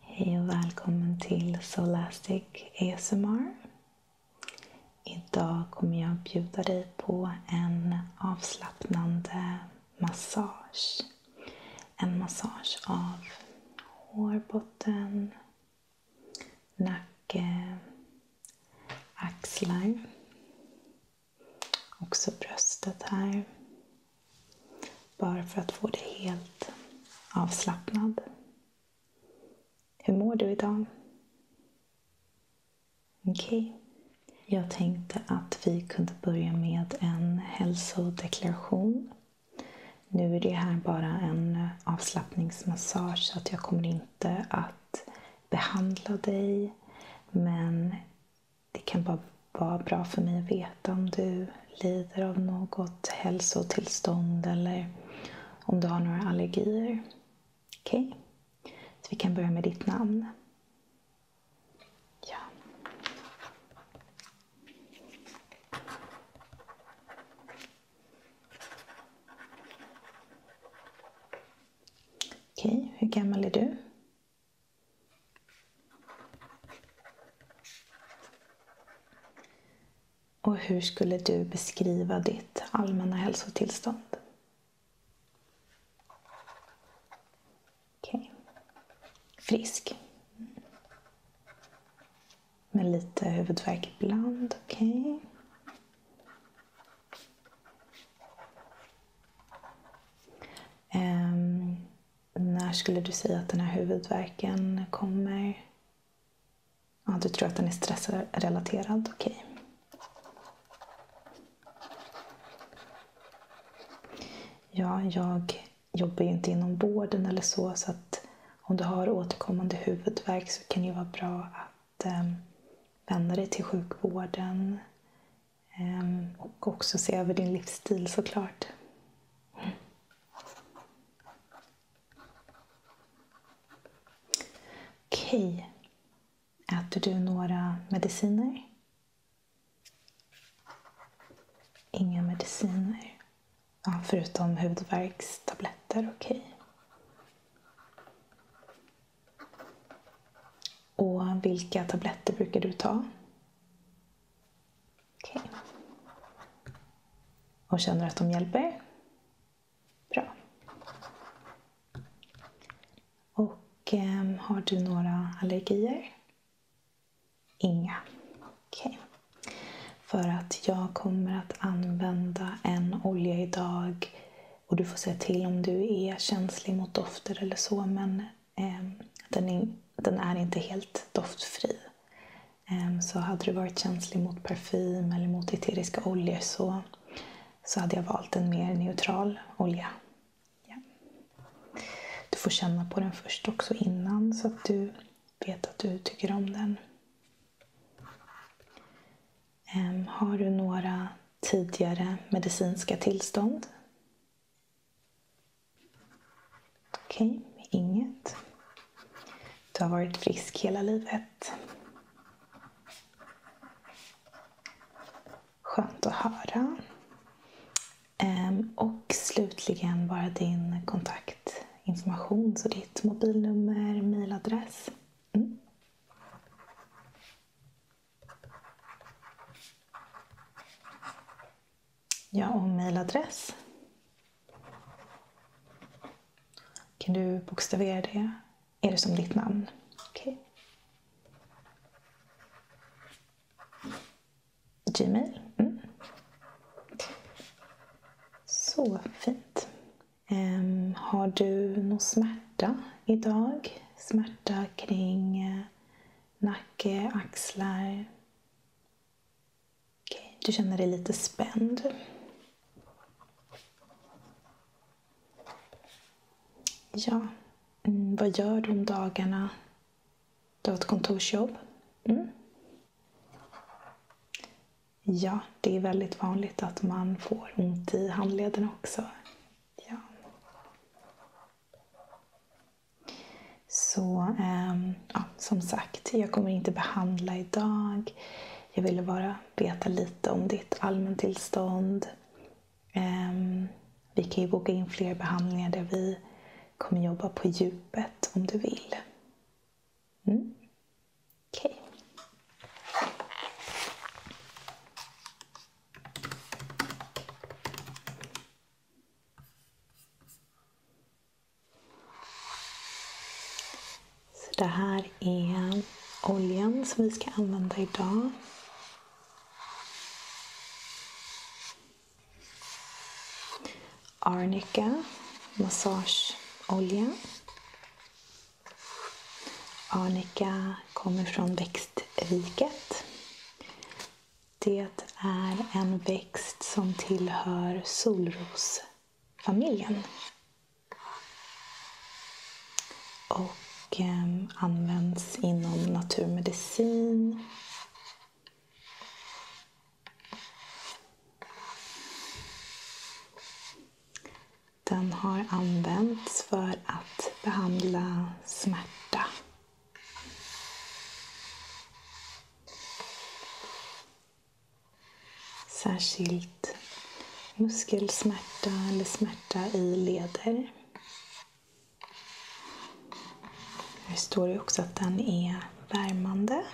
Hej och välkommen till Solastic ASMR. Idag kommer jag bjuda dig på en avslappnande massage. En massage av hårbotten, nacke, axlar. Också bröstet här. Bara för att få dig helt avslappnad. Hur mår du idag? Okej. Okay. Jag tänkte att vi kunde börja med en hälsodeklaration. Nu är det här bara en avslappningsmassage så att jag kommer inte att behandla dig. Men det kan bara vara bra för mig att veta om du lider av något hälsotillstånd eller om du har några allergier. Okej? Okay. Så vi kan börja med ditt namn. Ja. Okej, okay. hur gammal är du? Och hur skulle du beskriva ditt allmänna hälsotillstånd? Okay. Frisk. Med lite huvudvärk ibland. Okej. Okay. Ehm, när skulle du säga att den här huvudvärken kommer? Ja, du tror att den är stressrelaterad? Okej. Okay. Ja, jag jobbar ju inte inom vården eller så, så att om du har återkommande huvudvärk så kan det ju vara bra att eh, vända dig till sjukvården eh, och också se över din livsstil såklart. Okej. Äter du några mediciner? Inga mediciner. Ja, förutom hudvärkstabletter. Okej. Och vilka tabletter brukar du ta? Okej. Okay. Och känner att de hjälper? Bra. Och eh, har du några allergier? Inga. Okej. Okay. För att jag kommer att använda en olja idag och du får säga till om du är känslig mot dofter eller så. Men Ehm, den, är inte helt doftfri. Ehm, så hade du varit känslig mot parfym eller mot eteriska oljor så, så hade jag valt en mer neutral olja. Ja. Du får känna på den först också innan så att du vet att du tycker om den. Ehm, har du några tidigare medicinska tillstånd? Okej, okay, inget. Du har varit frisk hela livet. Skönt att höra. Ehm, och slutligen bara din kontaktinformation, så ditt mobilnummer, mailadress. Mm. Ja, och mejladress. Kan du bokstavera det? Är det som ditt namn? Okej. Okay. Gmail. Mm. Så fint. Um, har du någon smärta idag? Smärta kring eh, nacke, axlar, Okay, du känner dig lite spänd. Ja, mm, vad gör du om dagarna? Du har ett kontorsjobb? Mm. Ja, det är väldigt vanligt att man får ont i handleden också. Ja. Så ehm, ja, som sagt, jag kommer inte behandla idag. Jag ville bara veta lite om ditt allmäntillstånd. Ehm, vi kan ju boka in fler behandlingar där vi kommer jobba på djupet om du vill. Mm. Så det här är oljan som vi ska använda idag. Arnica massageolja. Arnika kommer från växtriket. Det är en växt som tillhör solrosfamiljen. Och ehm, används inom naturmedicin. Den har använts för att behandla smärta Särskilt muskelsmärta eller smärta i leder. Här står det också att den är värmande.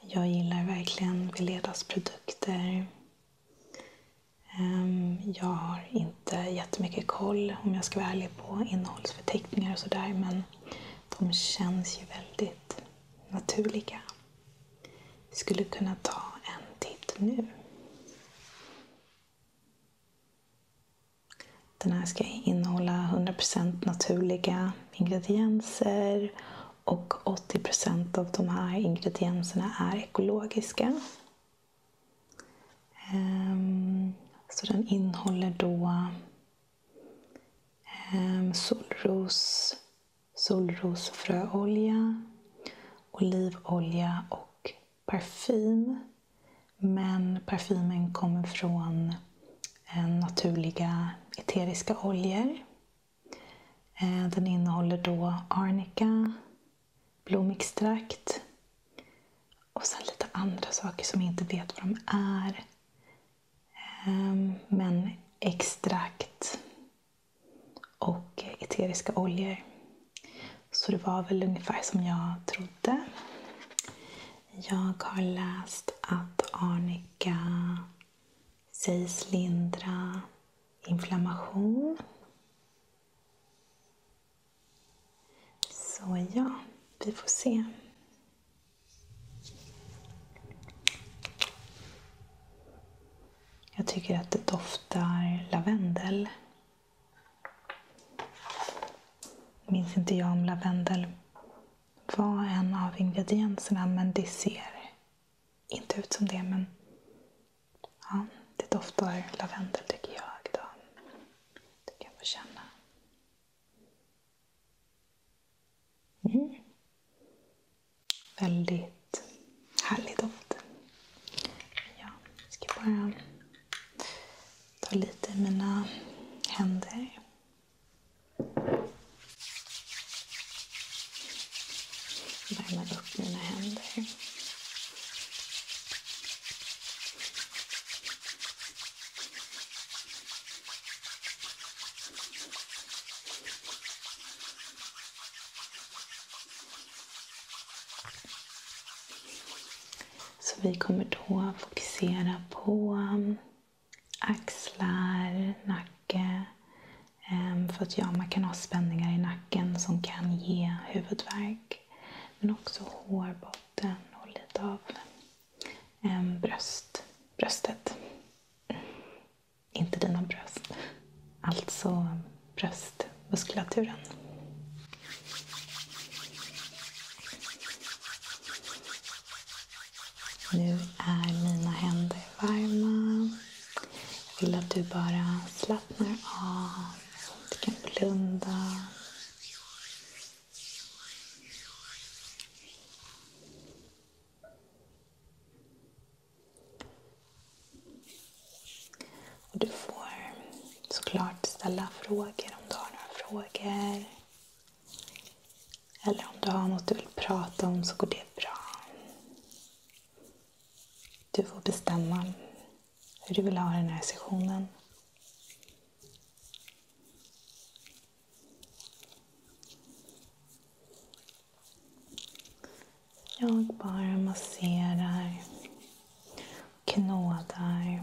Jag gillar verkligen Veledas produkter. Ehm, jag har inte jättemycket koll, om jag ska vara ärlig, på innehållsförteckningar och sådär, men de känns ju väldigt naturliga. skulle kunna ta en titt nu. Den här ska innehålla 100% naturliga ingredienser och 80% av de här ingredienserna är ekologiska. Ehm, så den innehåller då ehm, solros, solrosfröolja, olivolja och parfym. Men parfymen kommer från eh, naturliga eteriska oljor. Eh, den innehåller då arnika, blomextrakt och sen lite andra saker som jag inte vet vad de är. Ehm, men extrakt och eteriska oljor. Så det var väl ungefär som jag trodde. Jag har läst att arnika sägs lindra inflammation. Så ja, vi får se. Jag tycker att det doftar lavendel minns inte jag om lavendel var en av ingredienserna, men det ser inte ut som det. Men ja, det doftar lavendel tycker jag. Då. Det kan jag få känna. Mm. Väldigt härlig doft. Ja, ska bara Ta lite i mina händer. Värmer upp mina händer. Så vi kommer då fokusera på um, axlar, nacke. Um, för att ja, man kan ha spänningar i nacken som kan ge huvudvärk. Men också hårbotten och lite av um, bröst, bröstet. Mm. Inte dina bröst. Alltså bröstmuskulaturen. Nu är mina händer varma. Jag vill att du bara slappnar av. Du kan blunda. Och du får såklart ställa frågor om du har några frågor. Eller om du har något du vill prata om så går det bra. Du får bestämma hur du vill ha den här sessionen. Jag bara masserar, knådar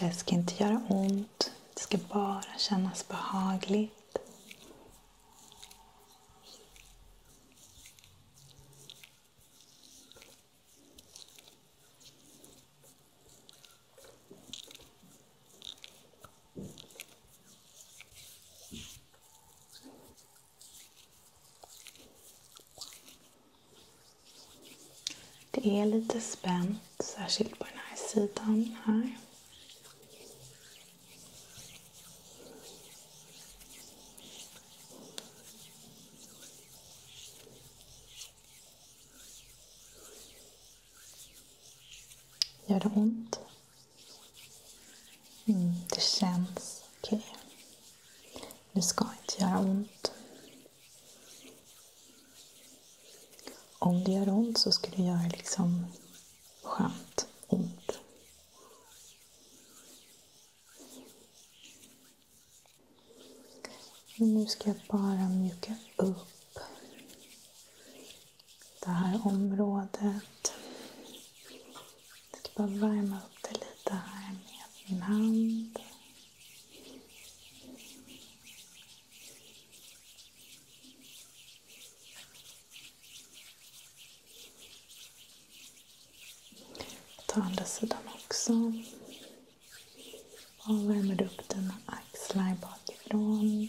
Det ska inte göra ont. Det ska bara kännas behagligt. Det är lite spänt, särskilt på den här sidan här. Gör det ont? Mm, det känns okej. Okay. Det ska inte göra ont. Om det gör ont så ska det göra liksom skönt ont. Men nu ska jag bara mjuka upp det här området. Jag ska bara värma upp det lite här med min hand. Ta andra sidan också. Och värmer upp dina axlar bakifrån.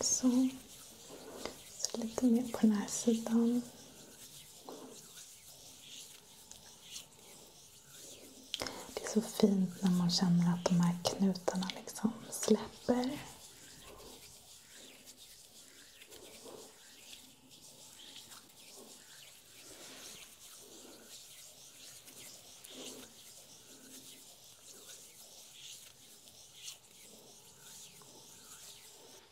Så. Så lite mer på den här sidan. Det är så fint när man känner att de här knutarna liksom släpper.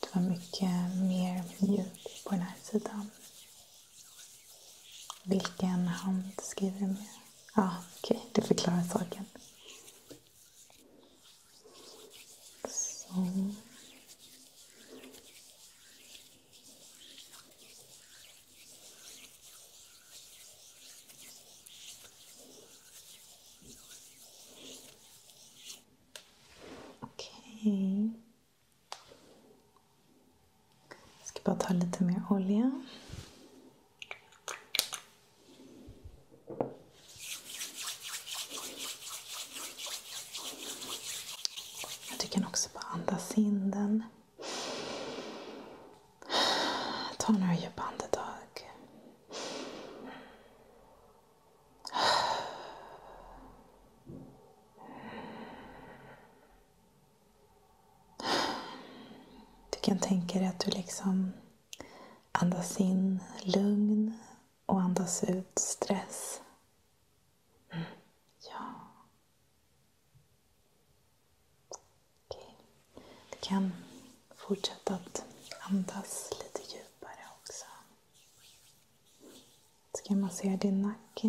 Det var mycket mer mjuk på den här sidan. Vilken hand skriver du med? Ja, ah, okej, okay. det förklarar saken. Så. Okej. ska bara ta lite mer olja. Du kan också bara andas in den. Ta några djupa andetag. Du kan tänka dig att du liksom andas in lugn och andas ut stress. Mm. Ja. Okej. Du kan fortsätta att andas lite djupare också. Så kan massera din nacke.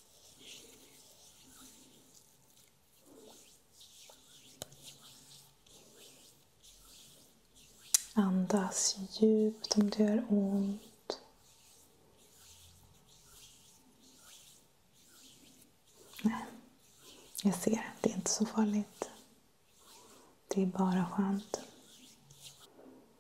Andas djupt om det gör ont. Nej, jag ser. Det är inte så farligt. Det är bara skönt.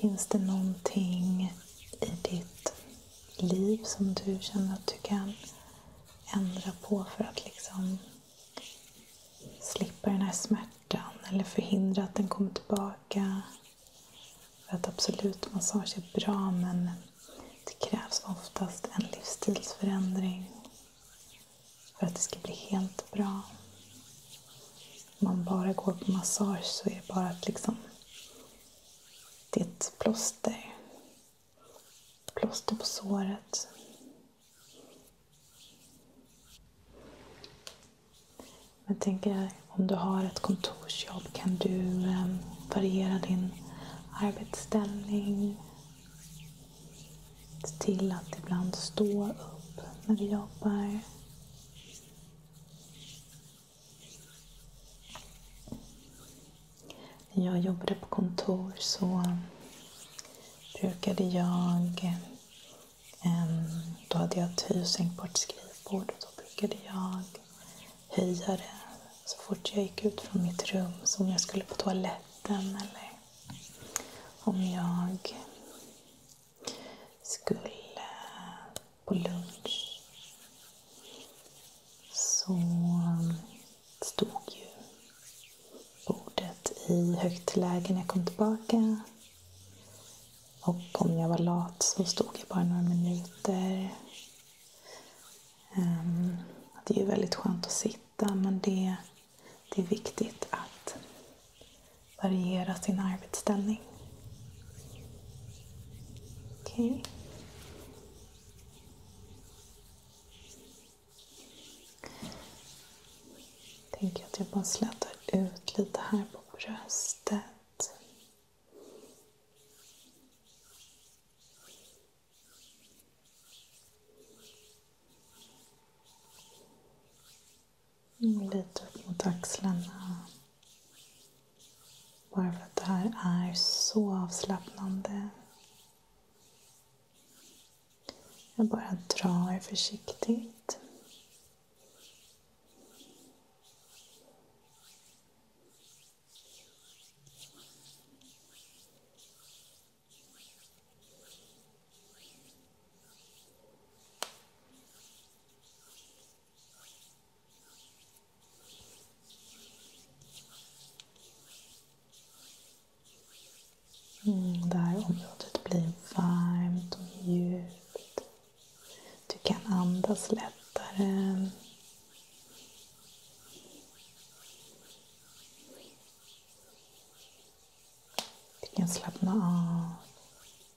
Finns det någonting i ditt liv som du känner att du kan ändra på för att liksom slippa den här smärtan eller förhindra att den kommer tillbaka? För att absolut, massage är bra men det krävs oftast en livsstilsförändring för att det ska bli helt bra man bara går på massage så är det bara att liksom... Det är ett plåster. Plåster på såret. Men tänker om du har ett kontorsjobb kan du ehm, variera din arbetsställning. Se till att ibland stå upp när du jobbar. När jag jobbade på kontor så brukade jag... Ehm, då hade jag ett hyrsänk på ett skrivbord och då brukade jag höja det så fort jag gick ut från mitt rum. Så om jag skulle på toaletten eller om jag skulle på lunch så stod ju bordet i högt läge när jag kom tillbaka. Och om jag var lat så stod jag bara några minuter. Ehm, det är ju väldigt skönt att sitta men det, det är viktigt att variera sin arbetsställning. Okej. Okay. Tänker att jag bara slätar ut lite här på bröstet. Mm, lite upp mot axlarna. Bara för att det här är så avslappnande. Jag bara drar försiktigt. Mm, det här området blir varmt och mjukt. Du kan andas lättare. Du kan slappna av.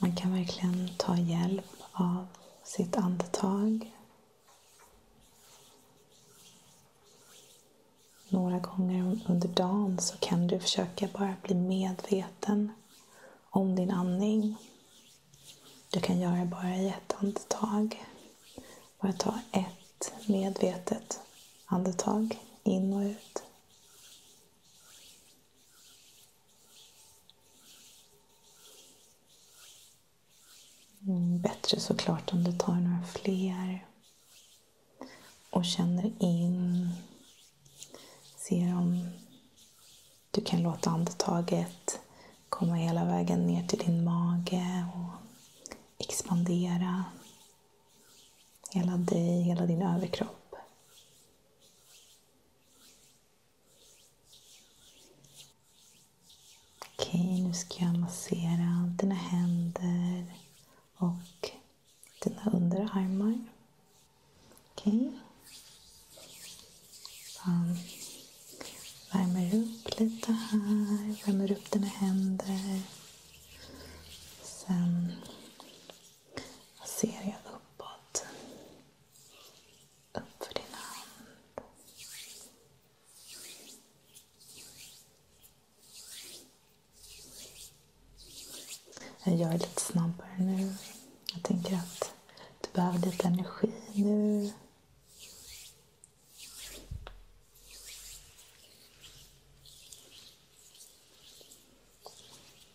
Man kan verkligen ta hjälp av sitt andetag. Några gånger under dagen så kan du försöka bara bli medveten om din andning. Du kan göra bara i ett andetag. Bara ta ett medvetet andetag in och ut. Mm, bättre såklart om du tar några fler och känner in. Ser om du kan låta andetaget komma hela vägen ner till din mage och expandera hela dig, hela din överkropp. Okej, nu ska jag massera dina händer och dina underarmar. Okej. värmer upp lite här, värmer upp dina händer. Sen masserar jag uppåt upp för din hand. Jag är lite snabbare nu. Jag tänker att du behöver lite energi nu.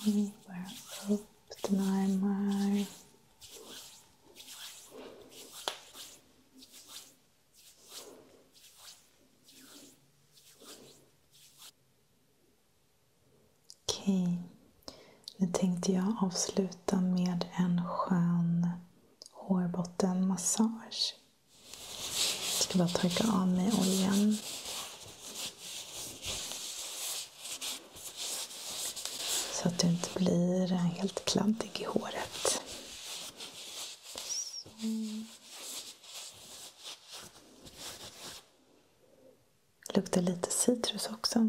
Okay, where well, did my my Okej. Nu tänkte jag avsluta med en skön hårbottenmassage. Jag ska bara torka av mig oljan. Så att du inte blir helt kladdig i håret. Så luktar lite citrus också.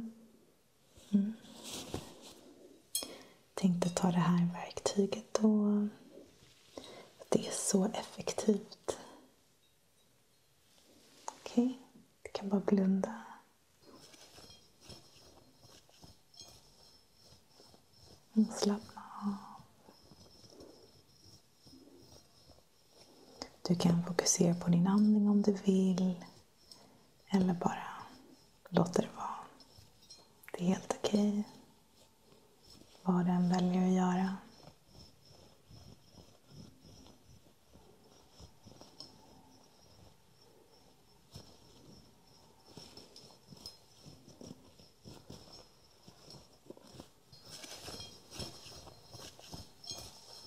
Mm. Tänkte ta det här verktyget då. det är så effektivt. Okej, okay. du kan bara blunda. Och mm, slappna av. Du kan fokusera på din andning om du vill. Eller bara låta det vara. Det är helt okej. Okay. Vad den väljer att göra.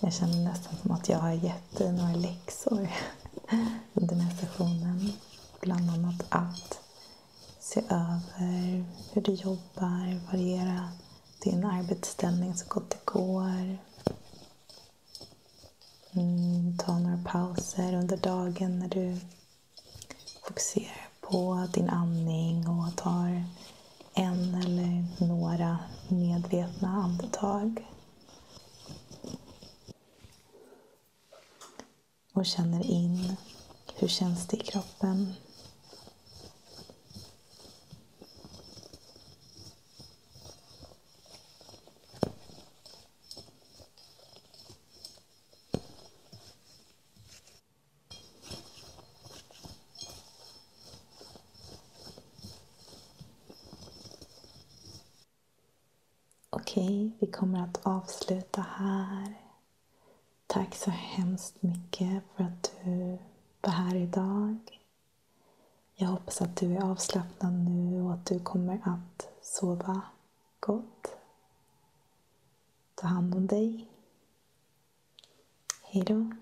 Jag känner nästan som att jag har gett dig några läxor under den här sessionen. Bland annat att se över hur du jobbar, variera din arbetsställning så gott det går. Mm, ta några pauser under dagen när du fokuserar på din andning och tar en eller några medvetna andetag. Och känner in, hur känns det i kroppen? Okej, vi kommer att avsluta här. Tack så hemskt mycket för att du var här idag. Jag hoppas att du är avslappnad nu och att du kommer att sova gott. Ta hand om dig. Hejdå.